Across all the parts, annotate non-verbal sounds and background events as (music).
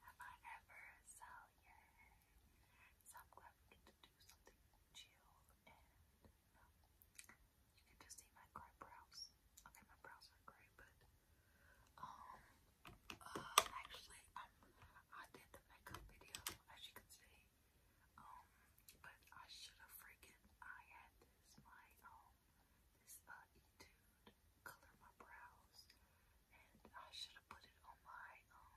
have I ever sell yet. So am glad to do something chill and you can just see my gray brows. Okay, my brows are gray, but um, uh, actually I did the makeup video as you can see. Um, but I should have freaking I had this my um, this uh color my brows, and I should have put it on my um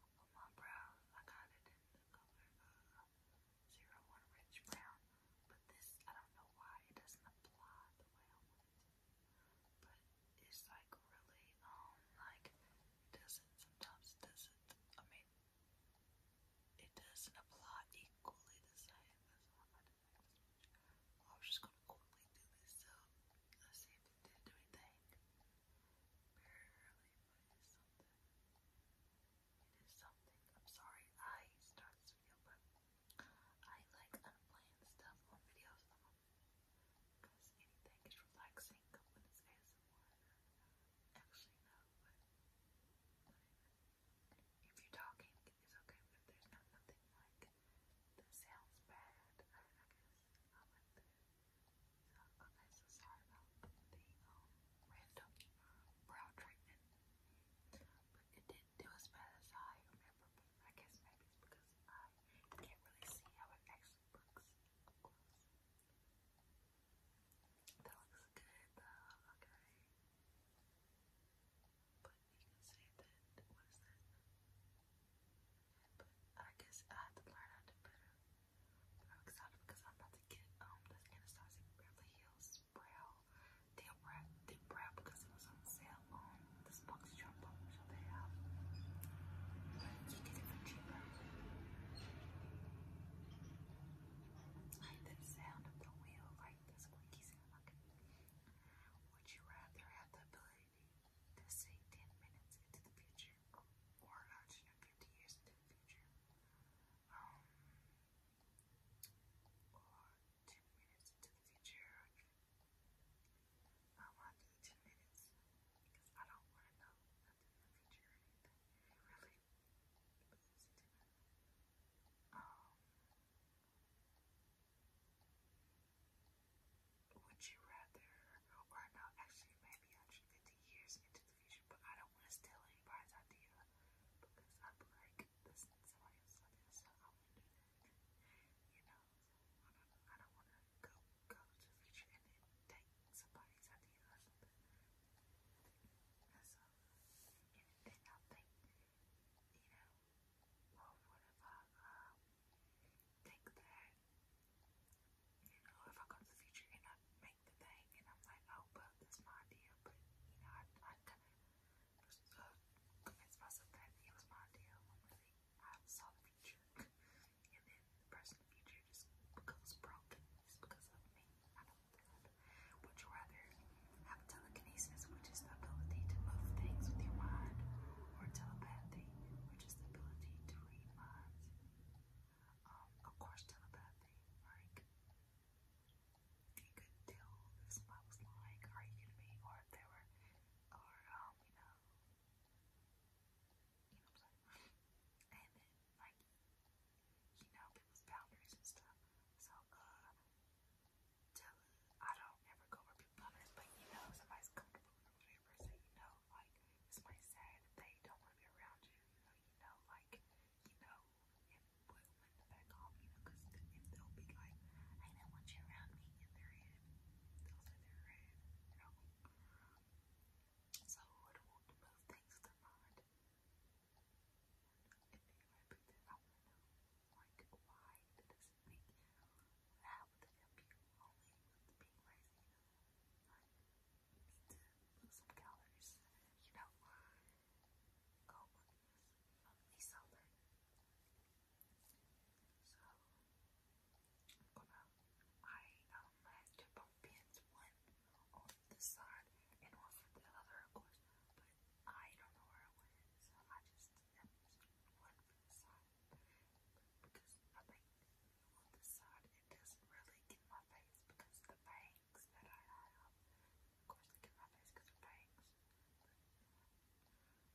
on my brows. I kind of did the color zero one rich brown, but this I don't know why it doesn't apply the way I want But it's like really um like doesn't sometimes doesn't. I mean. It doesn't apply equally the same as what I was just gonna quickly do this up. I see if it did anything. it is something. It is something. I'm sorry I start this video, I like unplanned stuff on videos because anything is relaxing when it's ASMR. Actually, no, if you're talking, it's okay, but there's not nothing that sounds bad, I, I guess. I like that. okay, so sorry about the um, random uh, brow treatment. it didn't do as bad as I remember, I guess maybe it's because I can't really see how it actually looks That looks good though, okay you can say that, what is that? But I guess I have to learn how to better. I'm excited because I'm about to get um this Anastasia Beverly Hills brow deal brow deal brow because it was on sale on this box shop so they have you get it for cheaper. like the sound of the wheel, like the squeaky sound would you rather have the ability to see 10 minutes into the future or 150 years into the future? Um, or 10 minutes into the future? I want to 10 minutes because I don't want to know nothing in the future or anything. really, 10 minutes. Um, would you rather, or no, actually, maybe 150 years into the future, but I don't want to steal anybody's idea because i like, this is somebody else's so I want to do that. You know, I don't, want to go, go to the future and then take somebody's idea so, anything I you know, well, what if I uh, you if I go the future and make the thing and I'm like, oh, well, that's my idea, but, you know, I, I uh, convinced myself that it was my idea when really I saw the future, (laughs) and then the person future just becomes broken just because of me. I don't know. Would you rather have telekinesis, which is the ability to move things with your mind, or telepathy, which is the ability to read minds. Um, of course, telepathy, like you could tell if somebody was or you were, or um, you know, you know And then, like, you know, people's boundaries and stuff. So, uh, tell I don't ever go where people but you know somebody's comfortable with whatever, so you know like it's my sad they don't want to be around you, you know, you know, like you know it will win the back off, you know, if they'll be like, I don't want you around me in they'll say they're red, you know. So I would want to things with their mind. And anyway, I want to know like why week. That with the computer only the being lazy. I need to lose some calories. You know, go look at So, I'm I um, had two bump one on this side and one for the other, of course, but I don't know where I went, so I just and because I think on this side it doesn't really get my face because the bangs that I have, of course they my face because of bangs.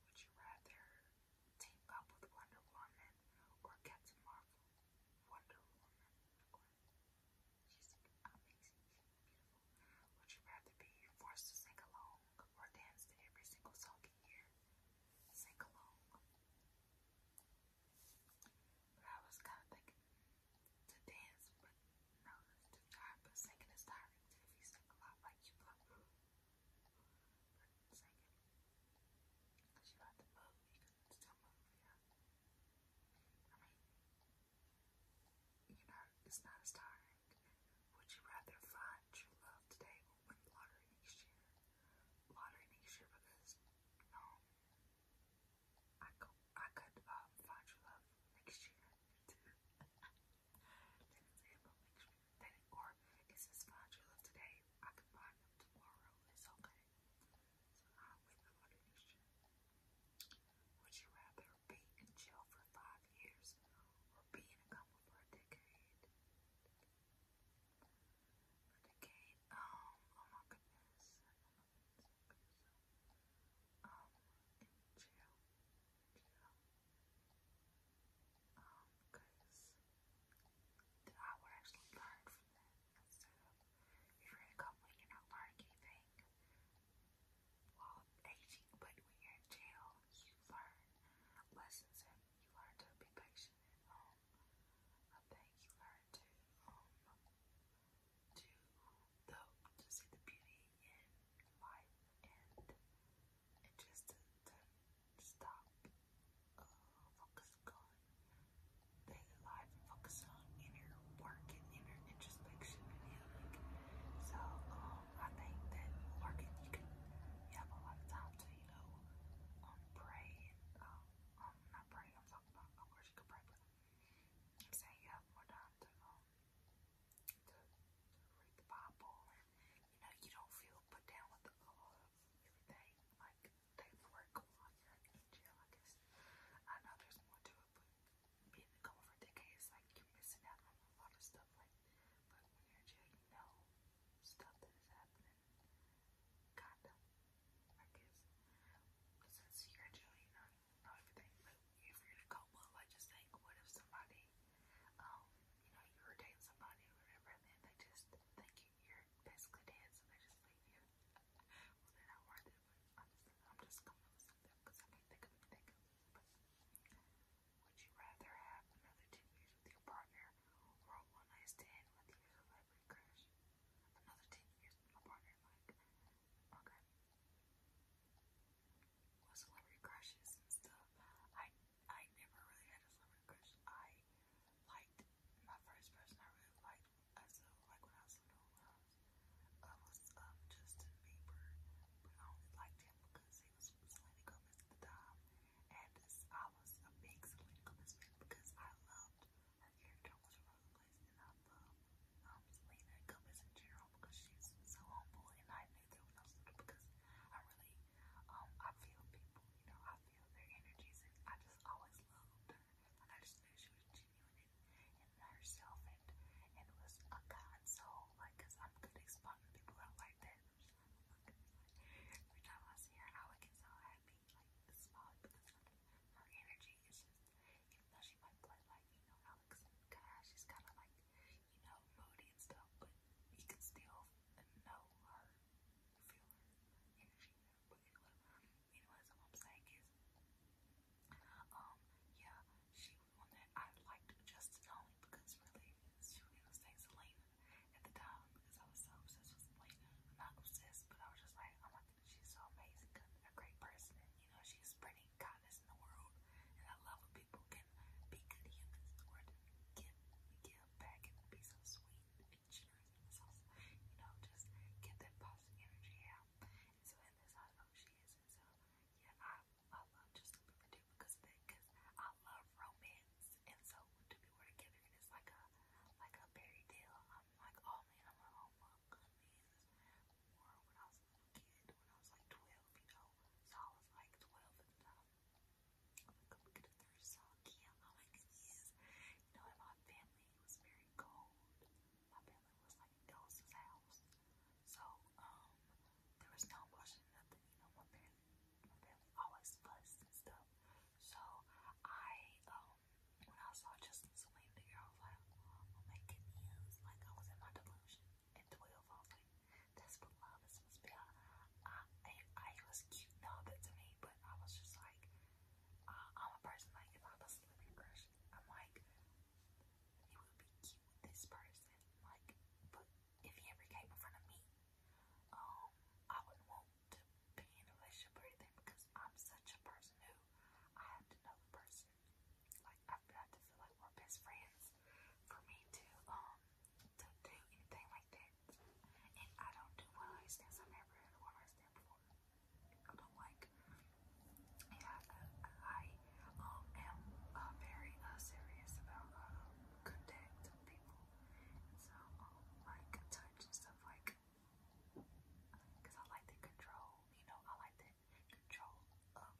Would you rather team up with Wonder Woman or Captain Marvel? Wonder Woman, She's amazing, would you rather be forced to sing along or dance to every single song you hear? Sing along. But I was kind of thinking to dance, but no, it's too tired. But singing is tiring too if you a lot like you love. singing, because you have to move, you can still move, yeah. I mean, you know, it's not as tiring. Would you rather find true love today or win the lottery next year? Lottery next year because no, um, I could I could um, find true love next year too. or is this find true love today? I could find them tomorrow. It's okay. So I win the lottery next year. Would you rather either in jail for five years or be a couple for a decade. A decade? Um, oh my goodness. Um, in jail. In jail. Um, because I would actually learn from that instead if you're a company, you're not learning anything. While aging, but when you're in jail, you learn lessons and you learn to be patient I think you learn to um to the to see the beauty in life and just to, stop uh, focus on daily life focus on inner work and inner introspection So um, I think that working, you can you have a lot of time to, you know, um, pray and, um, um, not pray, I'm talking about, of course you can pray, but saying you have more time to, um, to, read the Bible you know, you don't feel put down with all of everything, like, things work on your energy, I guess. I know there's more to it, but being a cover for decades, like, you're missing out on a lot of stuff stuff like when you're checking out stuff that is happening kind I guess. But you're actually not know everything, but if you're to go I just think what if somebody um, you know, you were somebody or whatever and they just think you are basically dead so they just leave you. well they're not worth it, I'm just coming with something because I can't think of anything would you rather have another two years with your partner or one night stand with your celebrity crush? Another ten years with my partner, like okay. Well celebrity crushes and stuff. I I never really had a celebrity crush. I liked my first person I really liked as a like when I was little when I was, uh, um, Justin Bieber. But I only liked him because it was from Selena Gomez at the time, and I was a big Selena Gomez fan because I loved her character on Rose Place, and I loved um, Selena Gomez in general because she's so humble, and I knew that when I was little because I really, um, I feel people, you know, I feel their energies, and I just always loved her, and I just knew she was genuine and, and herself, and and it was a console, like, cause I'm good at spotting people out like that. Oh every time I see her, I would get so happy, like, it's small because her energy is just, even though she might play like, you know, Alex and Kai, she's kind of like, you know, moody and stuff, but you can still know her, feel her energy. But anyway, anyways, what I'm saying is, um, yeah, she one that I liked just only because really she really was saying Selena at the time because I was so obsessed with Selena. I'm not obsessed, but I was just like, oh my goodness, she's so amazing, a great person, and you know, she's spreading kindness in the world. And I love when people can be good humans in the world and give, give back and be so sweet and generous and so, you know, just get that positive energy out. And so in this I know she is. And so yeah, I I love Justin Bieber too because of that. Because I love romance, and so to be we're together and it's like a like a fairy tale. I'm like, oh man, I'm like, oh my goodness. Or when I was a little kid, when I was like 12, you know, so I was like 12 at the time. I'm like, oh, look at the third song, yeah, I'm like, yes. You know, in my family, it was very cold. My family was like in Ghosts' house. So, um, there was no washing nothing, you know, my parents, my family always fussed and stuff. So, I, um, when I saw Justin Celine there, I was like, i like I was in my delusion. At 12, I was like, that's what love is I, I, was cute and all to me, but I was just like, uh, I'm a person, like, if I was a living crush, I'm like, it would be cute this person, like, but if he ever came in front of me, um, I wouldn't want to be in a relationship or anything because I'm such a person who I have to know the person. Like I have to feel like we're best friends for me to um to do anything like that. And I don't do one night stands. I've never had before. I don't like. Yeah, I I um, am uh, very uh, serious about um, contact connecting people. And so, um, like touch and stuff like, because I like the control, you know, I like the control of,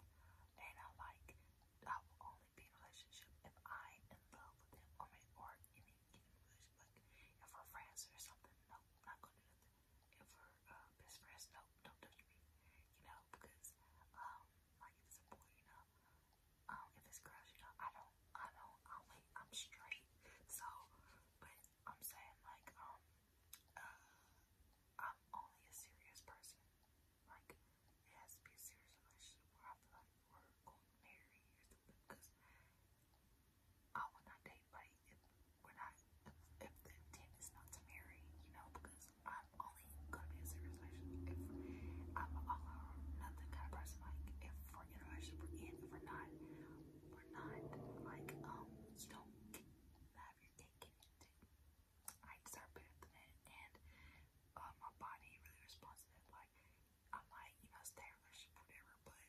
and I like, I will only be in a relationship if I am in love with him or, my, or any, any Like, if we're friends or something, no, not going to do that. If we're uh, best friends, no, don't touch me. You know, because, um, like if it's a boy, you know. Um, if it's girls, you know, I don't, I don't, I'm I'm straight. So, but I'm saying like, um, uh, I'm only a serious person. Like, it has to be a serious relationship where I feel like we're going to marry or something. Because I will not date, if we're not, if the intent is not to marry, you know, because I'm only gonna be in serious relationship if I'm a nothing kind of person. Like if we're in a relationship, we're in. If we're not, we're not. Like um, you don't have your cake and eat it. I deserve better than that, and uh, my body really responds to that. Like I might, you know, stay in a relationship, whatever, but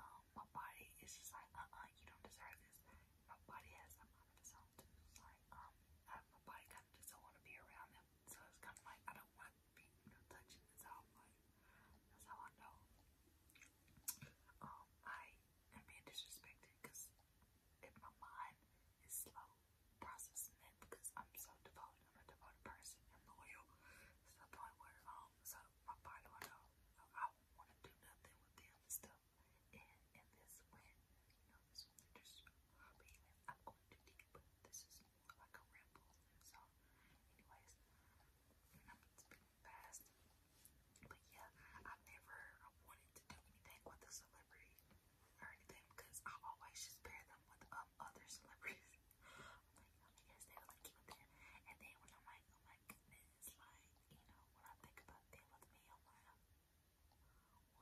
um, my body is just like, uh, uh, you don't deserve this. My body has a mind of its own too. So, like, um, I, my body just don't want to be around them. So it's kind of like, I don't want being you touching this out. that's how I know. Um, I am being disrespected because if my mind is slow processing it, because I'm so devoted, I'm a devoted person, I'm loyal. It's the point where, um, so I know, I don't want to do nothing with them and and in this win, you know, this winter's hobby oh, I'm going to deep, but this is more like a ramble. So, anyways, it's been fast. But yeah, I've never wanted to do anything with a celebrity or anything because I always just pair them with um, other celebrities. (laughs) like, oh my gosh, they look cute with them. And then when I'm like, oh my goodness, like, you know, when I think about them with me, I'm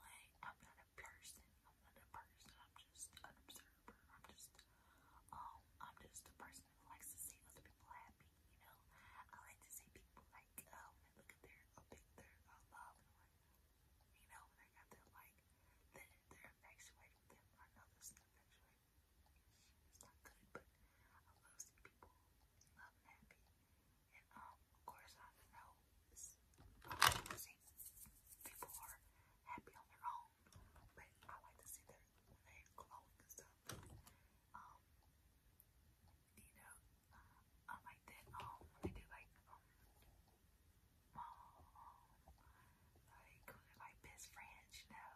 like, I'm not a person. I'm not a person. I'm just an observer. I'm just, um, I'm just a person who likes to see other people happy, you know? I like to see people, like, uh, look at their, a picture uh, of love, and like, you know, when I got their, like, they they're infatuated with them. I know infatuated. It's not good, but I love seeing people love happy and um, Coruscant know see, people are happy on their own, but I like to see their when they and stuff. Um, you know, uh, I like that. Um, when do like um, um like when best friends, you know,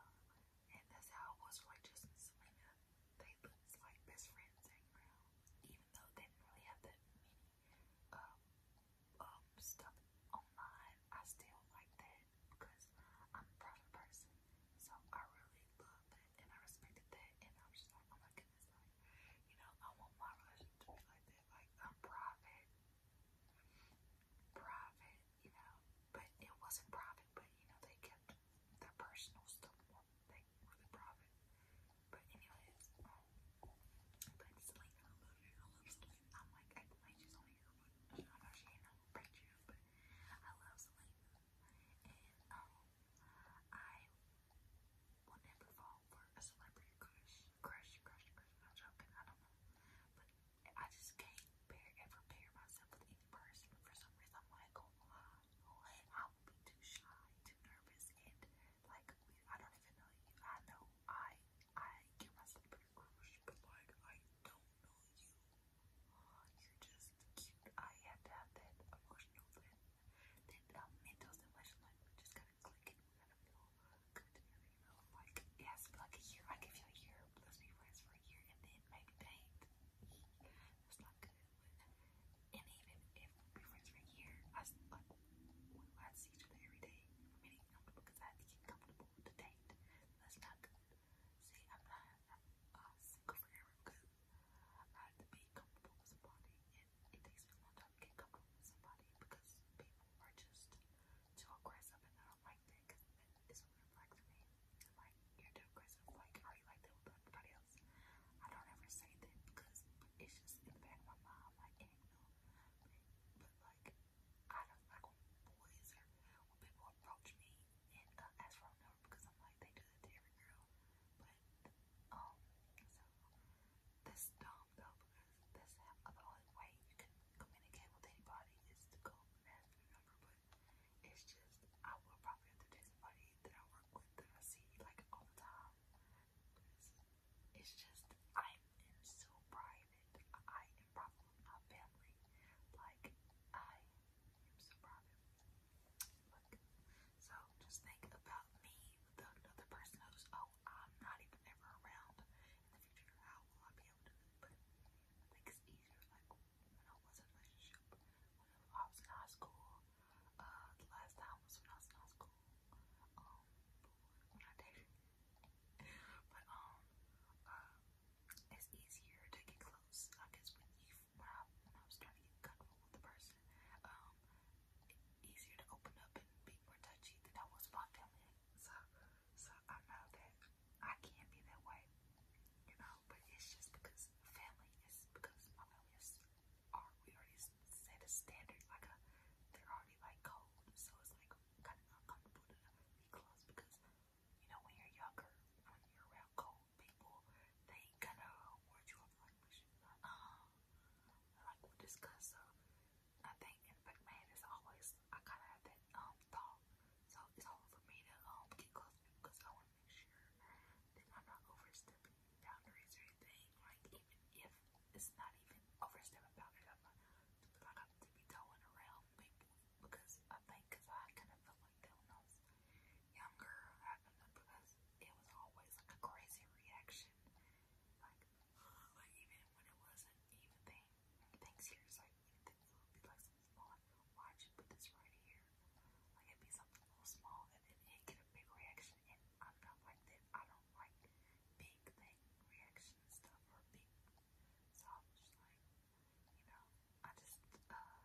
and that's how it was like Justin and Selena. They looked like best friends hanging around even though they didn't really have that many um, um, stuff online, I still like that because I'm a proud person. So I really love that and I respected that and I was just like, oh my goodness, like, you know, I want my relationship to be like that. Like I'm private. you know. But it wasn't private, but you know, they kept their personal stuff like really profit. But anyways, but Selena, I love Selena. I'm like acting like she's I know she but I love Selena. And um, I will never fall for a celebrity crush, crush, crush, crush. I'm joking. I don't know, but I just can't bear ever pair myself with any person for some reason. I'm I will be too shy, too nervous, and like we, I don't even know you. I know I I get my celebrity crush, but like I don't know you. You're just cute. I had to have that emotional that that um, mental stimulation. Like we just gotta click and we gotta feel good together. You know, like it be like a I give you a Let's be friends for a year and then maybe date. That's not good with. And even if we were friends for a year, I we had see each other every day for me to comfortable because I had to get comfortable with the date. That's not See, I'm not uh, single forever I have to be comfortable with somebody, and it takes a long time to get comfortable with somebody because people are just too aggressive, and I don't like that because that is what it like to me. Like, you're too Like, like that with everybody else. I don't ever say that because it's just in the back of my mind, like, you know, but, like, I don't like when boys or when people approach me and uh, ask for a number because I'm like, they do that to girl. But, um, so that's dumb though because that's how, the only way you can communicate with anybody is to go and ask it's just, I will probably have to do somebody that I work with that I see like all the time. It's just I am so private. I am probably my family. Like I am so private. so just think about me the, the person who's oh I'm not even ever around in the future. How will I be able to do easier like when I was in a relationship when I was in high school. Uh, the last time was when I was in high school. Um, when I dated. but um, uh, it's easier to get close, I guess, when you when I, when I was trying to get comfortable with the person. Um, easier to open up and be more touchy than I was with my family. So, so I know that I can't be that way, you know. But it's just because family is because my family is are we already set a standard like a they're already like cold, so it's like kind of uncomfortable to be close because you know when you're younger, when you're around cold people, they kind of ward you off like we should like uh like we'll discuss. So I think in fact man is always I kind of have that um thought, so it's hard for me to um get close to people because I want to make sure I'm not overstepping boundaries or anything. Like even if it's not even overstepping boundaries, I'm like I'm to be towing around people because I think because I kind of felt like that when younger. I do because it was always like a crazy reaction. Like, (sighs) even when it wasn't even thing things here is like things would be like small. Like, you put this right here? Like it'd be something little small and then it get a big reaction and I'm like that. I don't like big thing reaction stuff or big. So like, you know, I just uh,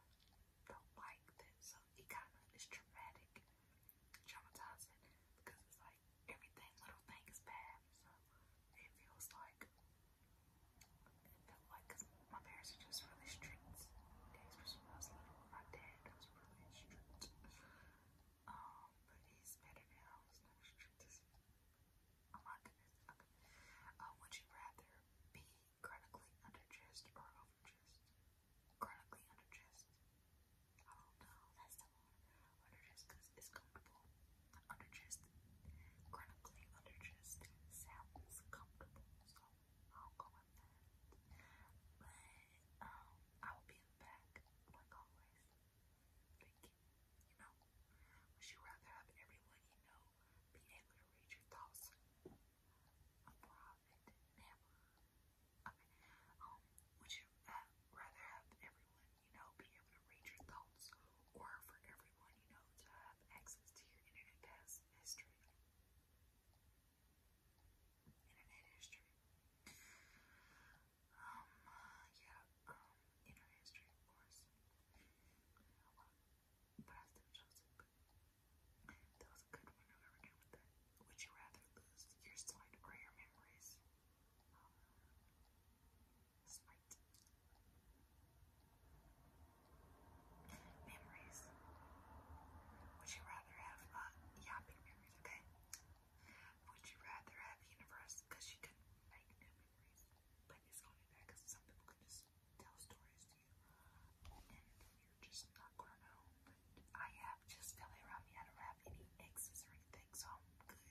don't like that. So uh, it kind of is traumatic, traumatizing because it's like everything little thing is bad. So it feels like felt like cause my parents are just really strict. Especially when I little, my dad was but he's better now. He's not as strict as Oh my goodness. would you rather be chronically underdressed or overdressed? Chronically underdressed. Oh no, that's the one. Underdressed because comfortable. Underdressed. Chronically underdressed sounds comfortable. I'll go with that. But um, I will be in the back like always. Thinking, you know, would you rather have everyone you know be able to read your thoughts on private? Never. Okay. Um, would you uh, rather have everyone you know be able to read your thoughts, or for everyone you know to have access to your internet past history? Internet history. Um, uh, yeah, um, internet history, of course. but I still chose it, that was a good one. I'll never get with that. Would you rather lose your sight or your memories? sight. Memories. Would you rather rather have not uh, yeah okay? Would you rather have universe because she could make new memories, but it's only that because some people can just tell stories to you, and you're just not gonna know. I have just family around me. I don't have any exes or anything, so I'm good.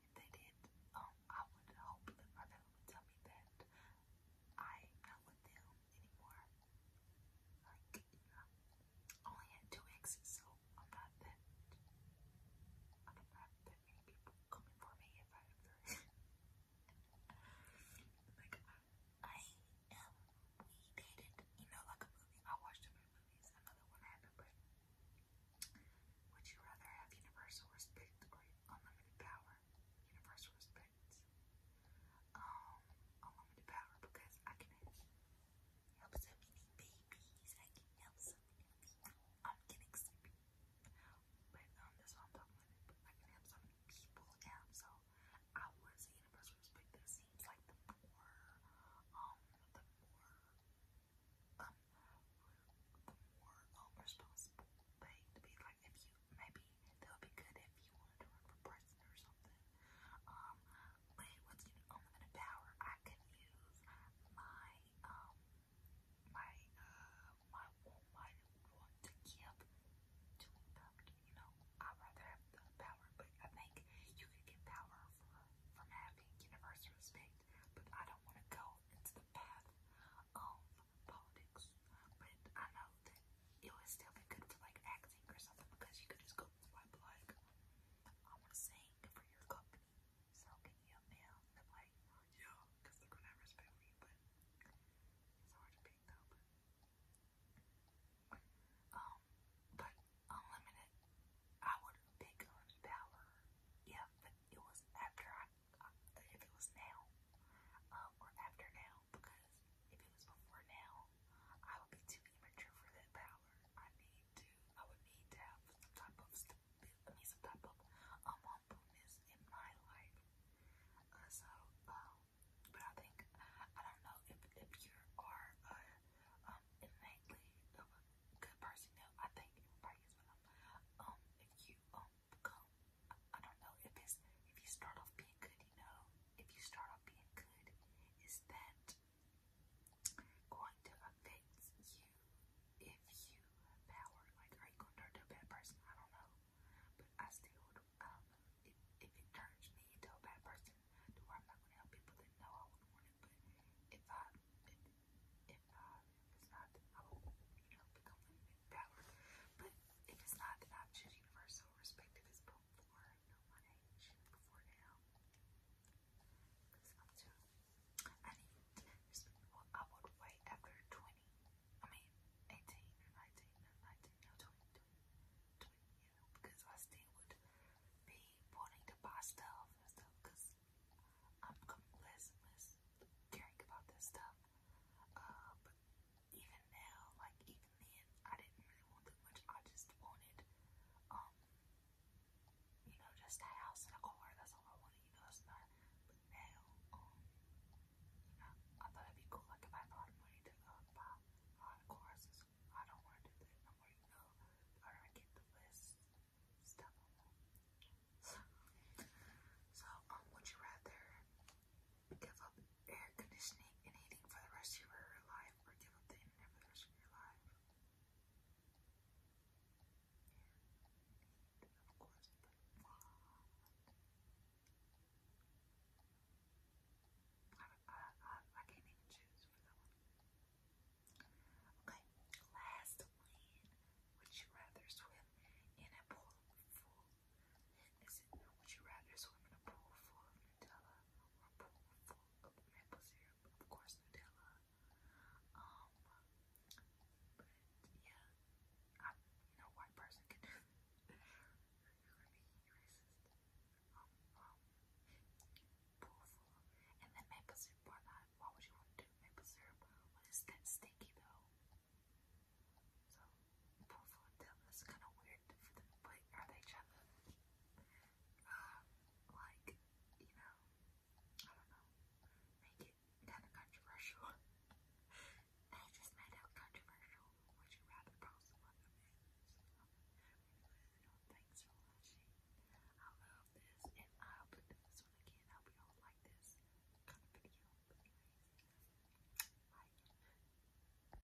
If they did, um, I would hope that my family would tell me that I'm with them, anymore. Like, only at two exits, so I'm not that. I'm not that many people coming for me if I like, I am weeded, you know, like a movie. I watched a movie. Movies, another one happened, but would you rather have universal respect or unlimited power? Universal respect um, oh, unlimited power because I can help so many babies. I can help so many people. I'm getting sleepy. But um, that's why I'm talking about I can help so many people now. So I would say universal respect that seems like the more, um, the more, um, the more um, responsible thing to be like if you, maybe that would be good if you wanted to run for president or something. Um, but what's unlimited power, I could use my um my uh my my to give to impact. You know, I'd rather have the power, but I think you could get power from having universal respect. But I don't want to go into the path of politics. But I know it would still be good for like acting or something because you could just go like, like I want to sing for your company. So can you mail? They're yeah, because they're gonna have respect for but it's hard to pick though. But, um, unlimited, I would pick on Yeah, but it was after I, if it was now, uh, or after now, because if it was before now, I would be too immature for that power. I need to, I would need to have some type of, I mean, some type of um, humbleness in my life. Uh, so, um, but I think, I don't know if, if you are uh, innately of a good person. I think everybody is, but um, um, if you um, become, I don't know if it's, if you start off being really good, you know, if you start off being good, is that going to affect you if you power? Like, are you going to turn to a bad person? I don't know. But I still, um, if, if it turns me into a bad person, do I'm not going to help people that I would want it. But if I, if, I, uh, if it's not, I will, you know, become limited power. But it's not, then I'm universal respect if it's before. I know my age before now. Because I'm too. I need. I would wait after 20. I mean, 18 or 19, Because I still would be wanting to buy stuff and stuff. Because I'm less less caring about this stuff. Uh, even now, like even then, I didn't really want that much. I just wanted, um, you know, just a house and a car. That's all I wanted. You know, that's not. But um, you know, I thought it'd be cool. Like if I had money to uh, buy a lot of I don't want to do that. I'm already know. I already get the list stuff. So, um, would you rather give up air conditioning and heating for the rest of your life, or give up the internet for the rest of your life. of course, the uh, I, I, I, can't even choose for that one. Okay, last one. Would you rather swim in a pool full? Is it, would you rather swim in a pool full Nutella or full of maple syrup, of course Nutella. Um, but yeah, I, no white person can do that. You're gonna be racist. Um, um, pool full, and then maple syrup. Why not? Why would you want to do maple syrup? What is that sticky though? So both of them. That's kind of weird for them to play around um, like, you know, I don't know, make it kind of controversial. I (laughs) just made out controversial. Would you rather post of these? Thanks for watching. I love this, and I'll put this one again. I hope you all like this kind of video. anyways, bye.